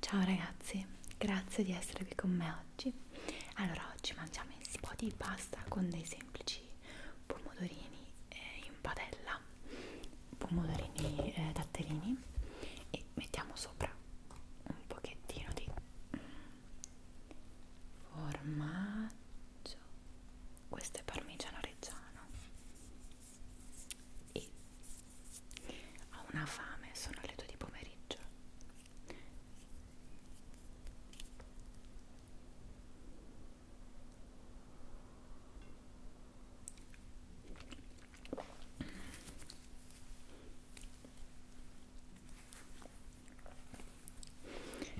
Ciao ragazzi, grazie di essere qui con me oggi. Allora, oggi mangiamo un po' di pasta con dei semplici pomodorini eh, in padella, pomodorini eh, datterini e mettiamo sopra un pochettino di formaggio formaggio questo è parmigiano reggiano e ho una fame sono le due di pomeriggio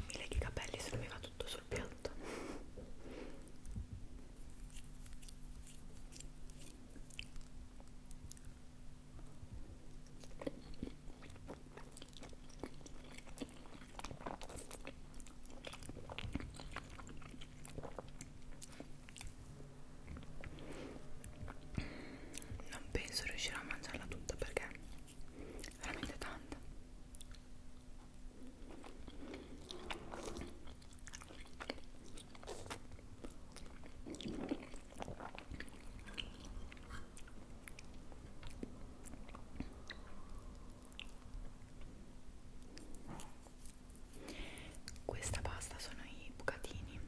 mi leghi i capelli se non mi vado tutto sul piatto non penso riuscirò a mangiarla tutta perché è veramente tanta questa pasta sono i bucatini.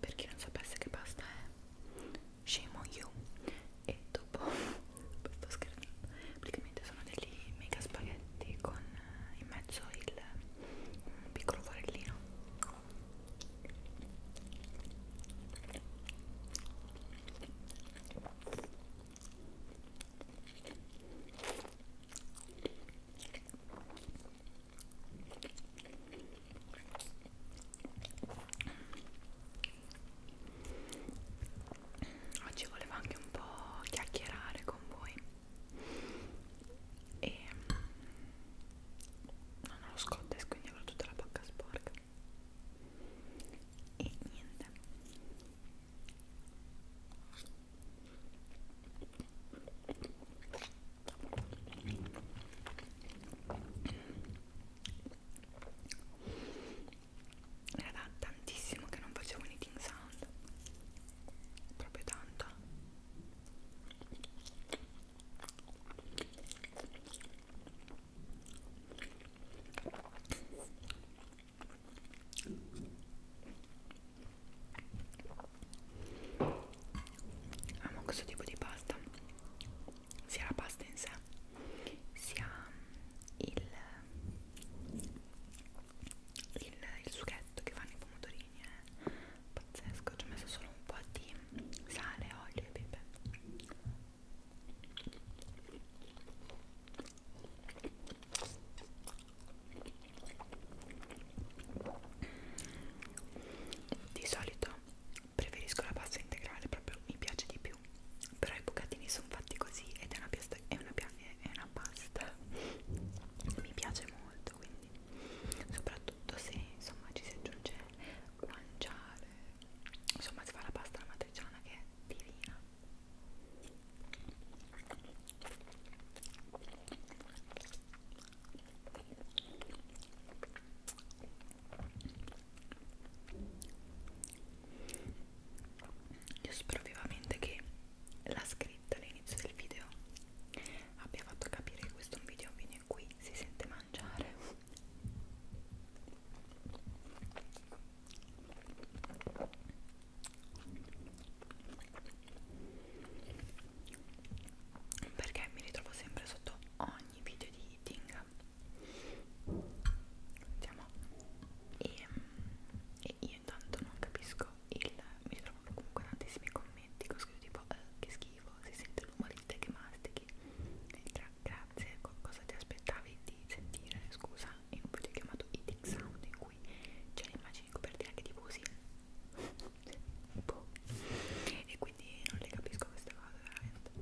Per chi non sapesse che pasta è, scemo io e dopo sto scherzando praticamente sono degli mega spaghetti con eh, in mezzo il un piccolo forellino oggi volevo anche un po' chiacchierare con voi e non ho lo scottex quindi avrò tutta la bocca sporca e niente era da tantissimo che non facevo un eating sound proprio tanto amo questo tipo di pasta sia la pasta in sé sia il, il, il sughetto che fanno i pomodorini è eh. pazzesco, ci ho messo solo un po' di sale, olio e pepe di solito preferisco la pasta integrale, proprio mi piace di più però i bucatini sono fatti così ed è una, piasta, è, una è una pasta mi piace molto quindi soprattutto se insomma ci si aggiunge guanciale insomma si fa la pasta alla matriciana che è divina io spero vivamente che la scritta all'inizio del video abbia fatto capire che questo è un video in cui si sente mangiare. Perché mi ritrovo sempre sotto ogni video di eating Vediamo. E, e io intanto non capisco il... mi trovano comunque tantissimi commenti con scritto tipo eh, che schifo, si sente l'umorista che mastichi. Gra grazie, cosa ti aspettavi di sentire? Scusa, in un video chiamato Eating Sound in cui c'è l'immagine copertina che diffusi. boh. E quindi non le capisco queste cose veramente.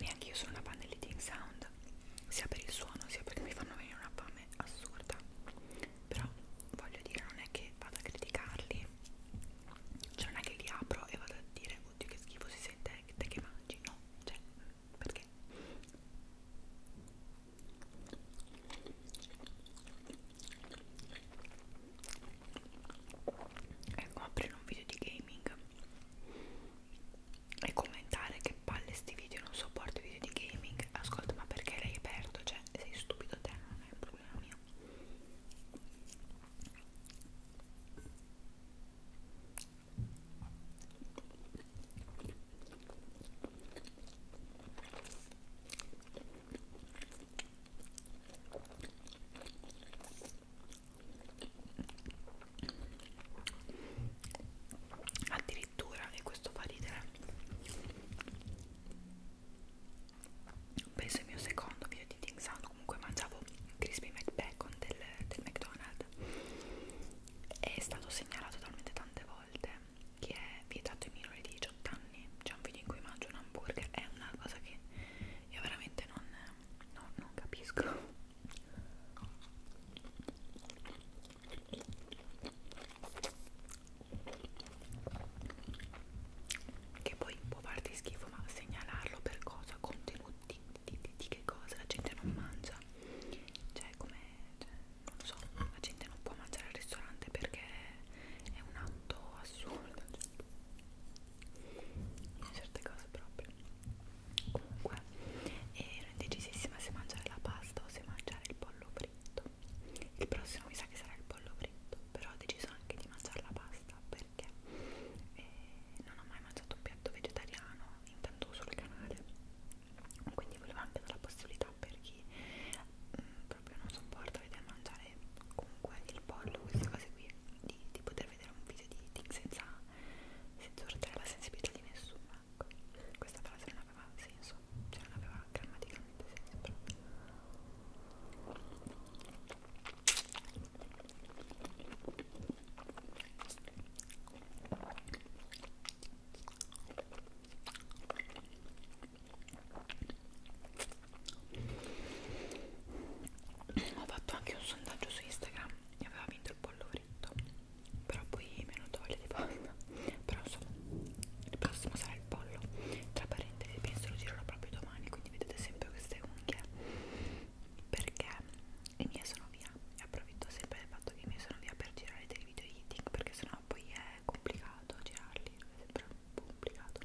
Neanche io sono una fan dell'eating sound, sia per il suono sia perché mi fanno venire una fame assurda. Però voglio dire, non è che vado a criticarli, cioè non è che li apro e vado a dire oddio che schifo si sente te che mangi no cioè perché ecco aprire un video di gaming e commentare che palle sti video non sopporto i video di gaming ascolta ma perché l'hai aperto cioè sei stupido te non è un problema mio addirittura e questo fa ridere penso il mio secondo video di Ting San quando comunque mangiavo crispy McBacon del, del McDonald's è stato segnalato talmente tante volte che è vietato ai minori di 18 anni c'è un video in cui mangio un hamburger è una cosa che io veramente non, no, non capisco che poi può farti schifo ma segnalarlo per cosa contenuti di, di, di che cosa la gente non mangia cioè come cioè, non lo so la gente non può mangiare al ristorante perché è un atto assurdo in cioè, certe cose proprio comunque eh, ero indecisissima se mangiare la pasta o se mangiare il pollo fritto il prossimo mi sa che sarà il pollo fritto però ho deciso anche di mangiare la pasta per perché e eh, non ho mai mangiato un piatto vegetariano intanto sul canale quindi volevo anche dare la possibilità per chi mh, mm, proprio non sopporta vedere mangiare comunque il pollo queste cose qui di, di poter vedere un video di eating senza, senza urtare la sensibilità di nessuno ecco. questa frase non aveva senso cioè non aveva grammaticamente senso proprio ho fatto anche un sondaggio su Instagram e aveva vinto il pollo fritto, però poi mi è venuto voglia di pasta. Però insomma, il prossimo sarà il pollo. Tra parentesi, penso lo girerò proprio domani, quindi vedete sempre queste unghie perché i miei sono via e approfitto sempre del fatto che i miei sono via per girare dei video eating perché sennò poi è complicato girarli è sempre un po' complicato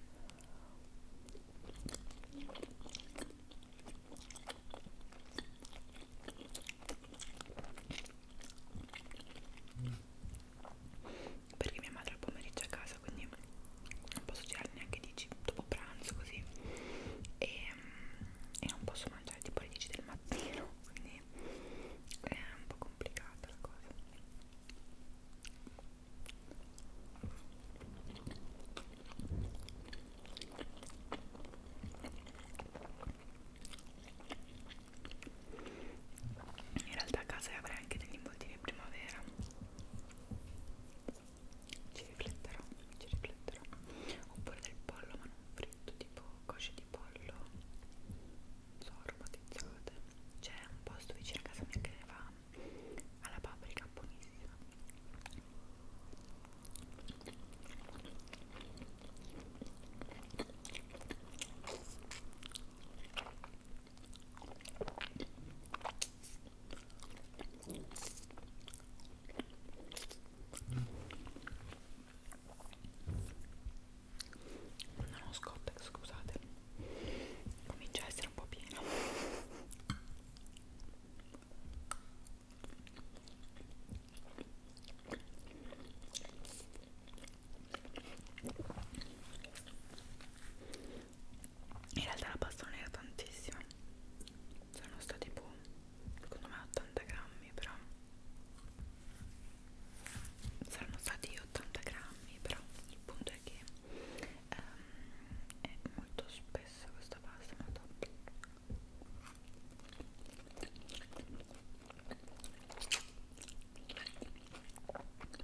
perché mia madre al pomeriggio è a casa quindi non posso girare neanche 10 dopo pranzo così e, mm, e non posso mangiare tipo alle 10 del mattino quindi è un po' complicata la cosa in realtà a casa avrei anche degli involtini primavera ci rifletterò, ci rifletterò oppure del pollo ma non fritto tipo cosce di pollo non so, aromatizzate c'è un posto vicino a casa mia che ne va alla paprika buonissima non ho scotte scusate comincia a essere un po' pieno in realtà la pasta non era tantissima sono stati tipo boh, secondo me 80 grammi però saranno stati 80 grammi però il punto è che um, è molto spessa questa pasta ma dopo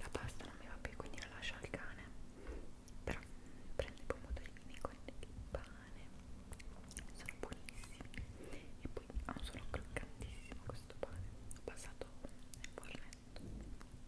La pasta non mi va più, quindi la lascio al cane. Però mm, prendo i pomodorini con il pane, sono buonissimi. E poi ha un suono croccantissimo questo pane. Ho passato nel fornetto.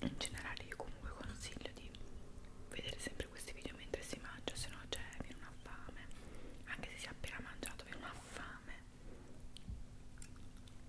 in generale io comunque consiglio di vedere sempre questi video mentre si mangia se no c'è cioè, viene una fame anche se si è appena mangiato viene una fame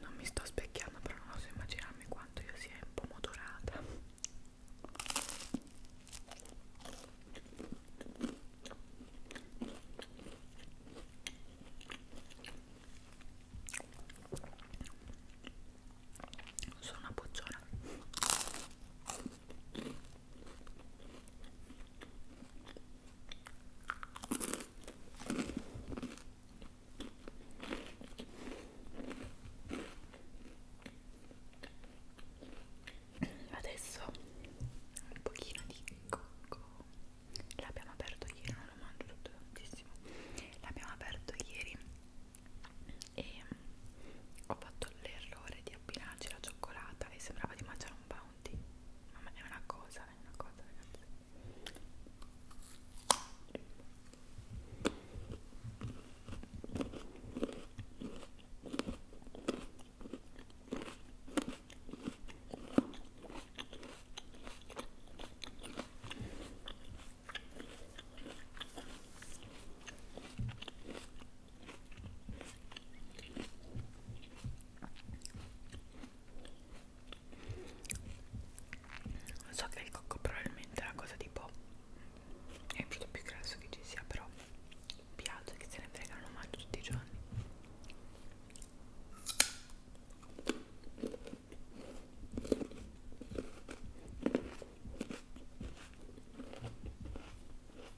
non mi sto specchiando però non so immaginarmi quanto io sia un po' modorata sono una bocciona Adesso un pochino di cocco. L'abbiamo aperto ieri, non lo mangio tutto tantissimo. L'abbiamo aperto ieri e ho fatto fatto l'errore di abbinarci la cioccolata e sembrava di mangiare un bounty. Mamma è una cosa, è una cosa, ragazzi. So che il cocco probabilmente è la cosa tipo è il prodotto più grasso che ci sia, però mi piace che se ne frega, lo mangio tutti i giorni.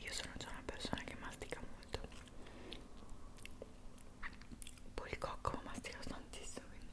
Io sono già una persona che mastica molto. Poi il cocco mastica tantissimo, quindi.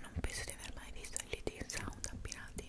Non penso di aver mai visto gli Teen Sound abbinati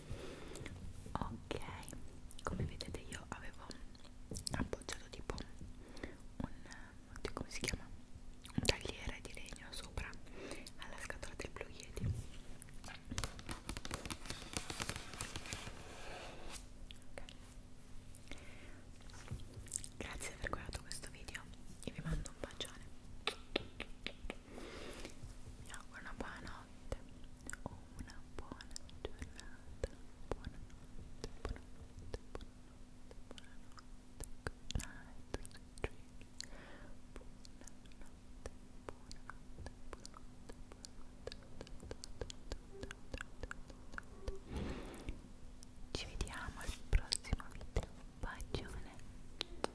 ok come vedete io avevo appoggiato tipo un come si chiama un tagliere di legno sopra alla scatola del Blue Yeti okay. grazie per aver guardato questo video e vi mando un bacione vi auguro una buona notte o una buona giornata buonanotte, buonanotte, buonanotte buonanotte, good night buonanotte, buonanotte, buonanotte, buonanotte ci vediamo al prossimo video bacione